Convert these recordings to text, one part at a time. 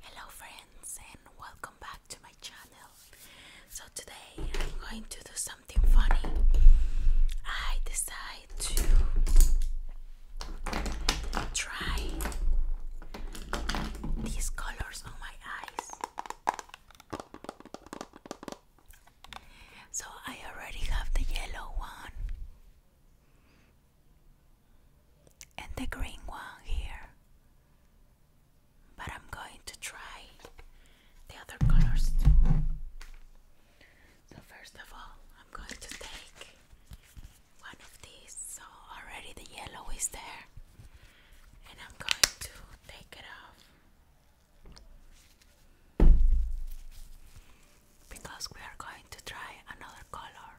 Hello friends and welcome back to my channel. So today I'm going to do something funny. I decide to try these colors on my eyes. So I already have the yellow one and the green one here. But I'm going to try the other colors too. So, first of all, I'm going to take one of these. So, already the yellow is there, and I'm going to take it off. Because we are going to try another color.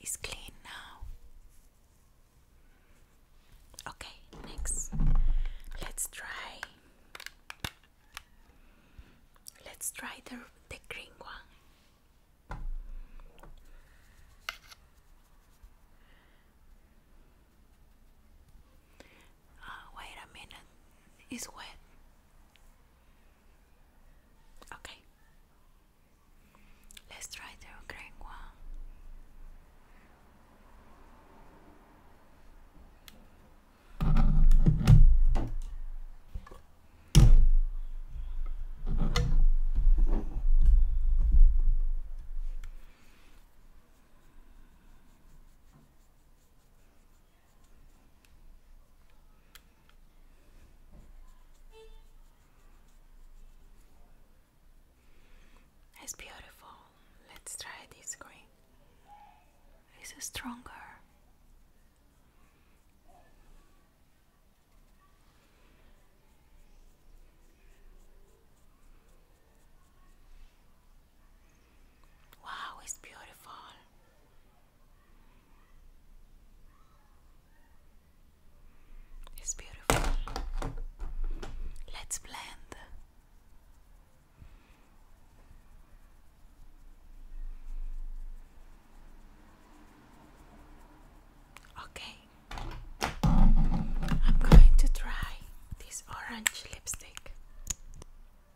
is clean now. Okay, next. Let's try. Let's try the the green one. Oh, wait a minute. It's wet. Okay. Let's try the Ukraine one. It's beautiful. Let's try this green. It's stronger. Wow, it's beautiful. It's beautiful. Let's blend. Okay, I'm going to try this orange lipstick.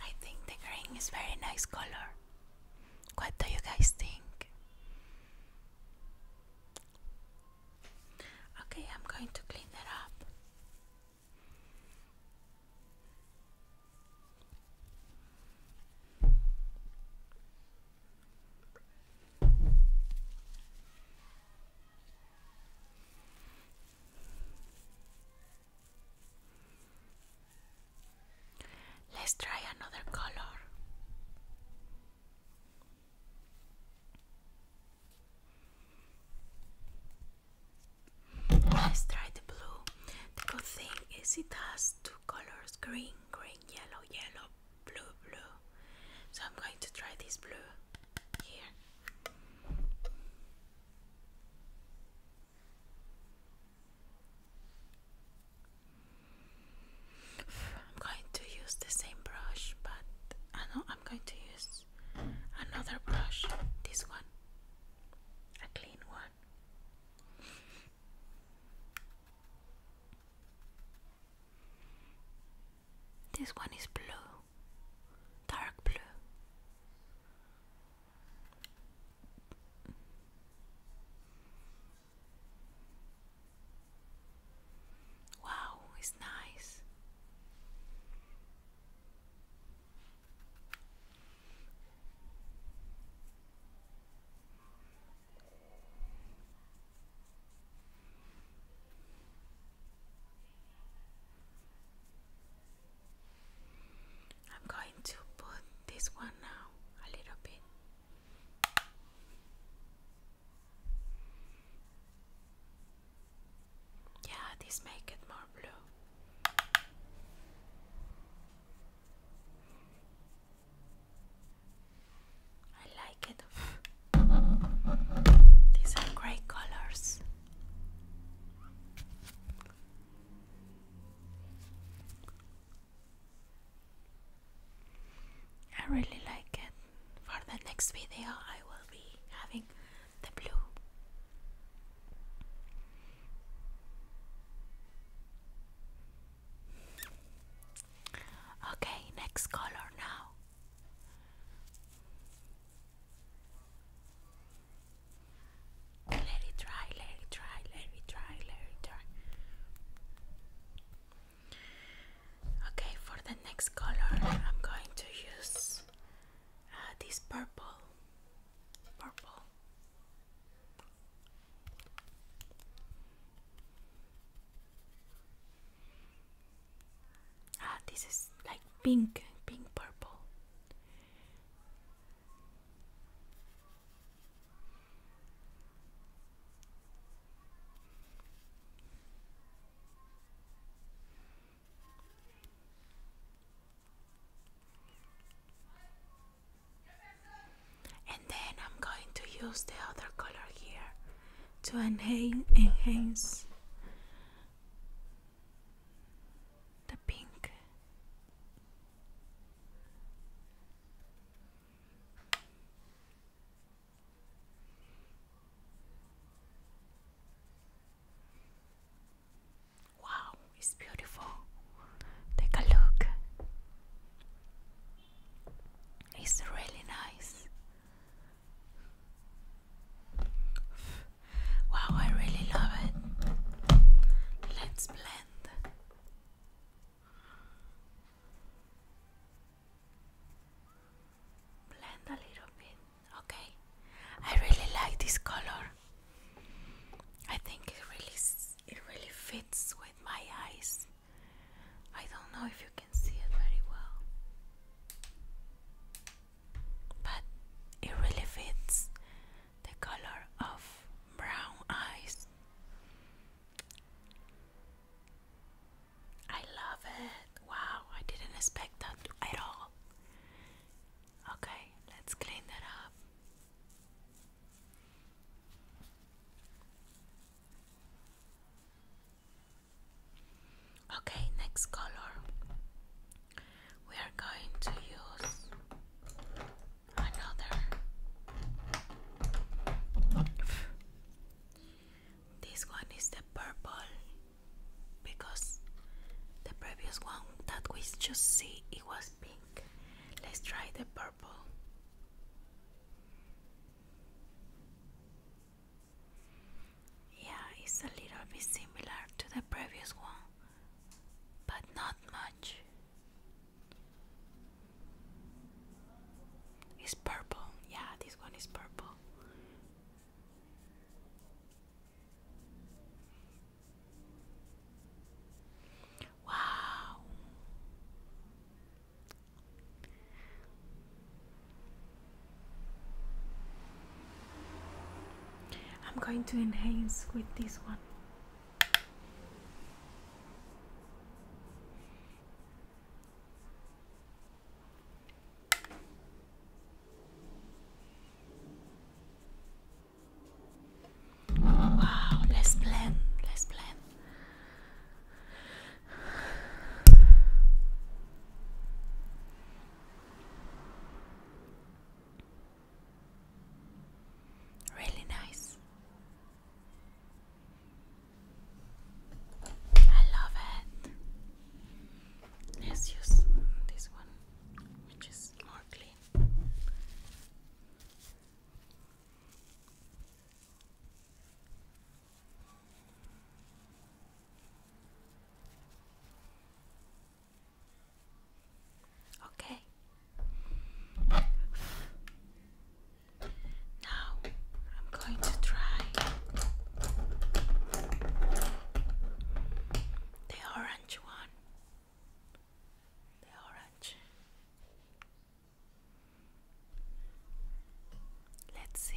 I think the green is very nice color. What do you guys think? Okay, I'm going to clean it up. Let's try another color. Let's try the blue. The good thing is it has two colors green, green, yellow, yellow, blue, blue. So I'm going to try this blue here. I'm going to use the same brush, but I ah, know I'm going to use another brush. This one, a clean one. This one is blue, dark blue. Wow, it's nice. I'm going to put this one now a little bit. Yeah, this make it more blue. I like it. These are great colors. I really like it. For the next video, I will be having the blue. Okay, next color now. Let it dry, let it dry, let it dry, let it dry. Okay, for the next color, I'm going to use uh, this purple. Purple. Ah, this is like pink, pink purple. And then I'm going to use the other color here to enhance enhance the pink. Wow, it's beautiful. Take a look. It's really nice. Wow, I really love it. Let's blend. Blend a little bit. Okay. I really like this color. I think it really it really fits with my eyes. I don't know if you can see it very well but it really fits the color of brown eyes. I love it. Wow, I didn't expect that at all. Okay, let's clean that up. Okay, next color. We are going to use another. This one is the purple because the previous one that we just see it was pink. Let's try the purple. Yeah, it's a little bit similar to the previous one, but not much. It's purple. Yeah, this one is purple. Wow. I'm going to enhance with this one. Wow, let's blend, let's blend. Really nice. I love it. Let's use this one, which is more clean. Okay. Now I'm going to try the orange one. The orange. Let's see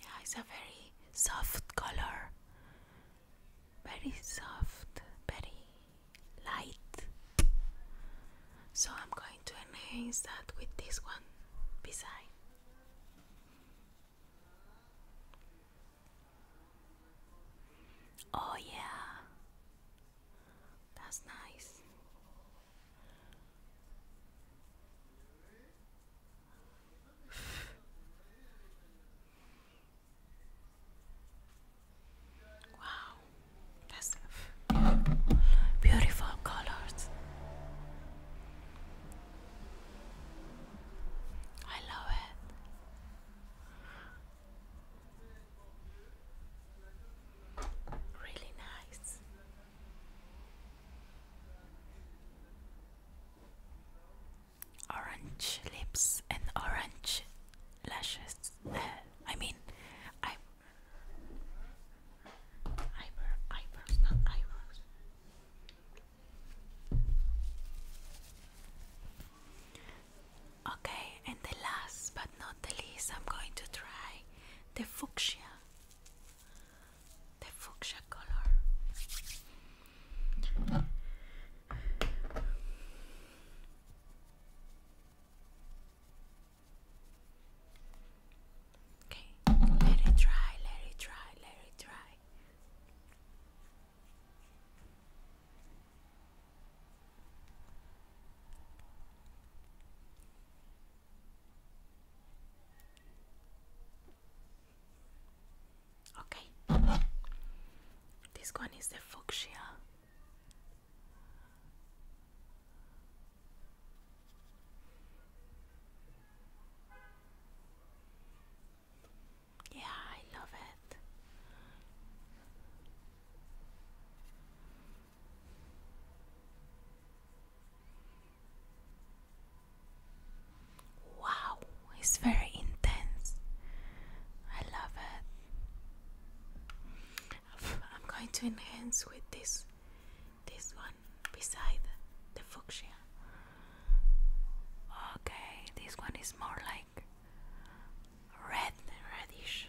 Yeah, it's a very soft color, very soft, very light. So I'm going to enhance that with this one beside. Oh, yeah, that's nice. Wow, that's beautiful colors. I love it. Really nice. Orange lips and orange lashes. Uh, I mean, I eyebrow, eyebrows, not eyebrows. Okay, and the last but not the least, I'm going to try the fuchsia, the fuchsia color. Okay, let it dry, let it dry, let it dry. Okay. This one is the fuchsia. Yeah, I love it. Wow, it's very intense. I love it. I'm going to enhance with this this one beside the fuchsia. Okay, this one is more like red, reddish.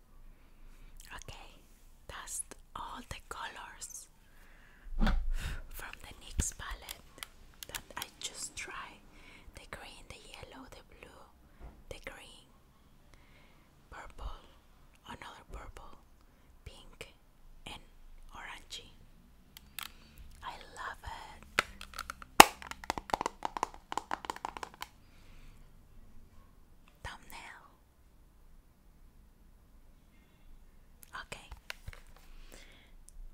Okay, that's all the colors from the NYX palette that I just tried the green, the yellow, the blue, the green, purple, another purple, pink, and orangey. I love it thumbnail. Okay.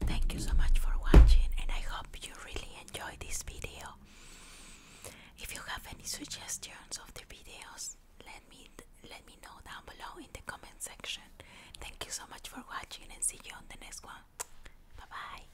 Thank you so much for watching and I hope you really enjoyed this video. If you have any suggestions of the videos, let me let me know down below in the comment section. Thank you so much for watching and see you on the next one. Bye bye.